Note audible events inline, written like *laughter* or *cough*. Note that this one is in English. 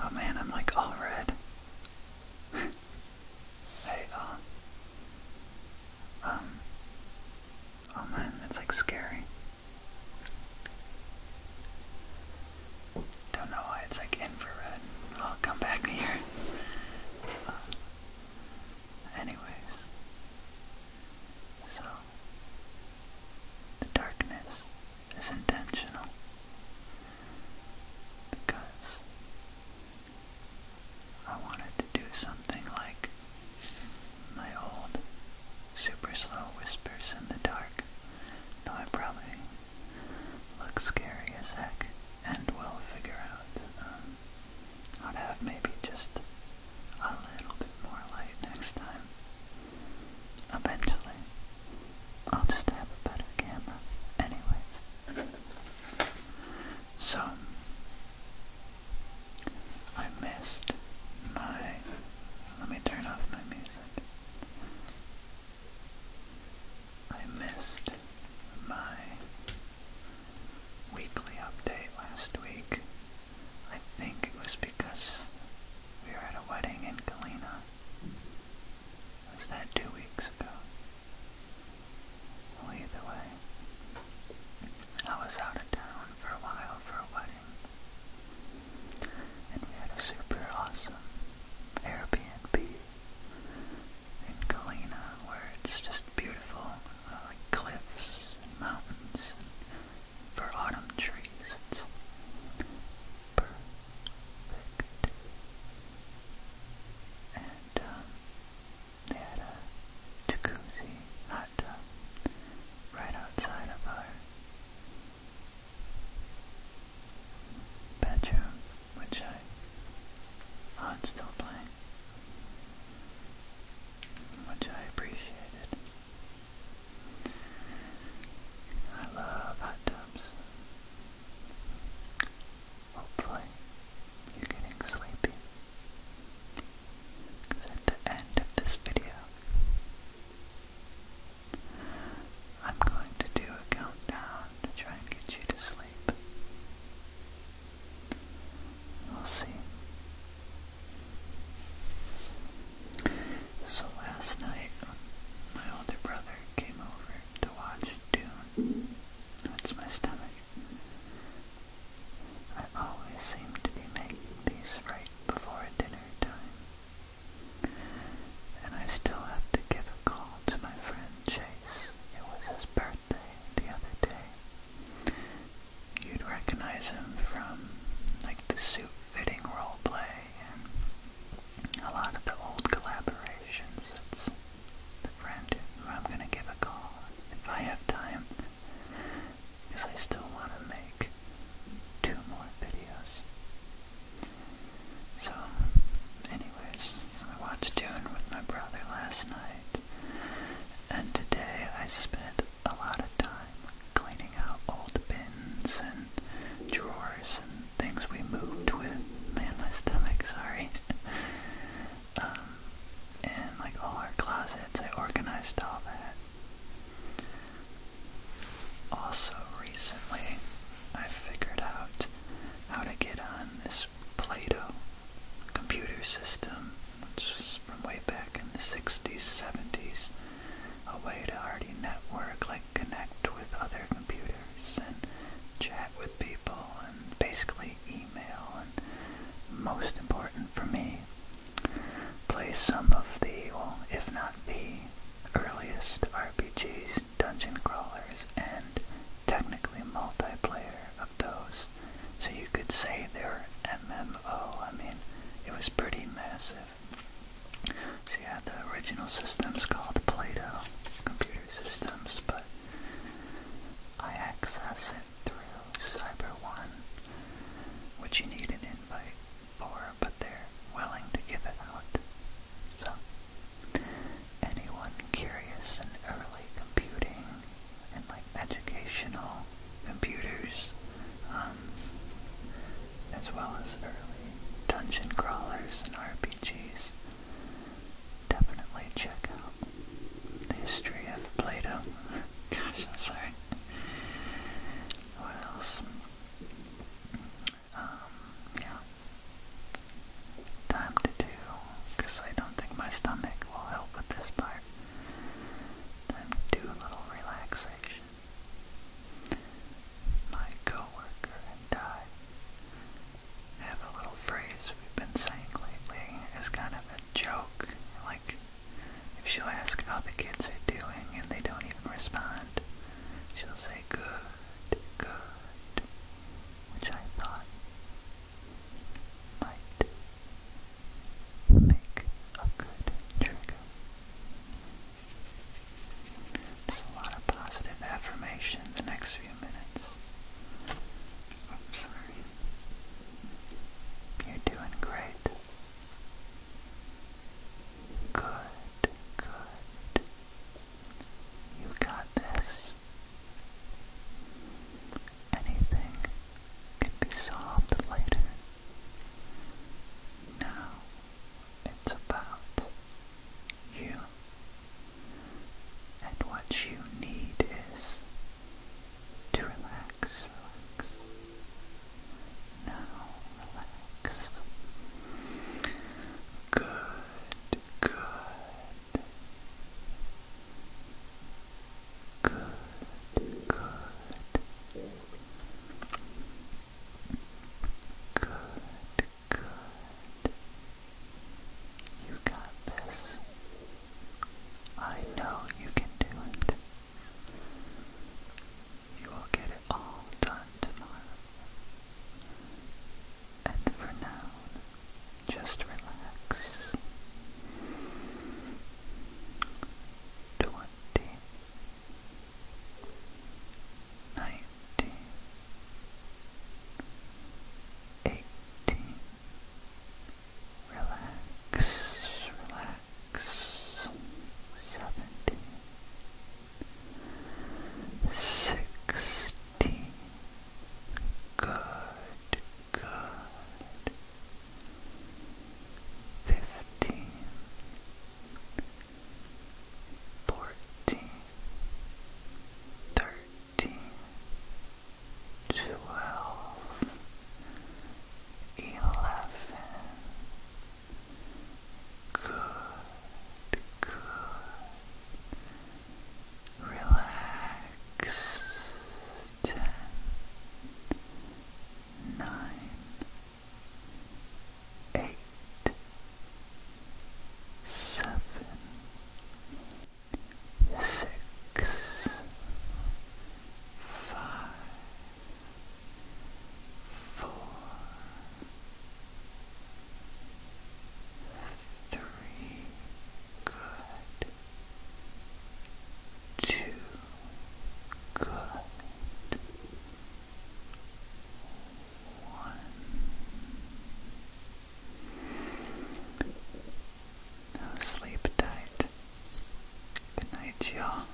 Oh man, I'm like all red. *laughs* hey, um, um, oh man, that's like scary. Don't know why it's like infrared. I'll oh, come back *laughs* here. Uh, anyways, so the darkness is intentional because I wanted to do something like my old super slow whispers in the dark, though I probably look scary as heck and will figure out um, how to have maybe just a little bit more light next time. Eventually, I'll just have a better camera, anyways. So, I missed my. Let me turn off my music. I missed my weekly update last week I think it was because we were at a wedding in Galena. Was that two weeks ago? Well, either way, I was out of town for a while for a wedding. And we had a super awesome Airbnb in Galena where it's just beautiful, uh, like cliffs and mountains for autumn trees. perfect. And um, they had a jacuzzi hot tub right outside of our bedroom, which I oh, it's still playing, which I appreciated. I love hot tubs. Hopefully, you're getting sleepy. at the end of this video, I'm going to do a countdown to try and get you to sleep. We'll see so last night, my older brother came over to watch Dune. That's my stomach. I always seem to be making these right before dinner time. And I still have to give a call to my friend Chase. It was his birthday the other day. You'd recognize him from like the suit fitting role play and a lot of the old collaborations. That's the friend who I'm gonna give a call if I have time, because I still want to make two more videos. So, anyways, I watched Dune with my brother last night. And today I spent a lot of time cleaning out old bins and drawers and things we moved with. Man, my stomach, sorry. *laughs* Um, and like all our closets, I organized all that. Also, recently, I figured out how to get on this Play-Doh computer system which was from way back in the 60s, 70s, a way to already network, like connect with other computers and chat with people and basically email and most important for me, play some of the, well, if not the earliest RPGs, dungeon crawlers, and technically multiplayer of those. So you could say they're MMO. I mean, it was pretty massive. So you had the original systems called Play-Doh computer systems, but I access it through Cyber One, which you need an invite for, but they're willing to give it out. So, anyone curious in early computing and like educational computers, um, as well as early dungeon crawlers and RPGs. Definitely check out the history of Plato. *laughs* Gosh, I'm sorry. What else? Um, yeah, time to do, because I don't think my stomach will help with this part. Time to do a little relaxation. My coworker and I have a little phrase we've been saying lately as kind of a joke. Like, if she'll ask how the kids are doing and they don't even respond, she'll say, good, good, which I thought might make a good trigger. There's a lot of positive affirmation the next few minutes. I'm sorry. You're doing great. Good, good. You got this. Anything can be solved later. Now it's about you. And what you need is to relax, relax. Now relax. Good. Good. Good. Good. Good. You got this. I know you can do it. You will get it all done. And for now, just relax. Twenty. Relax, relax. Seventeen sixty. Good, good. Fifteen, fourteen, thirteen, twelve, eleven. Good, good. Relax. Ten, nine, eight, seven, six, five four, three, good, two, good, one. Now sleep tight. Good night, y'all.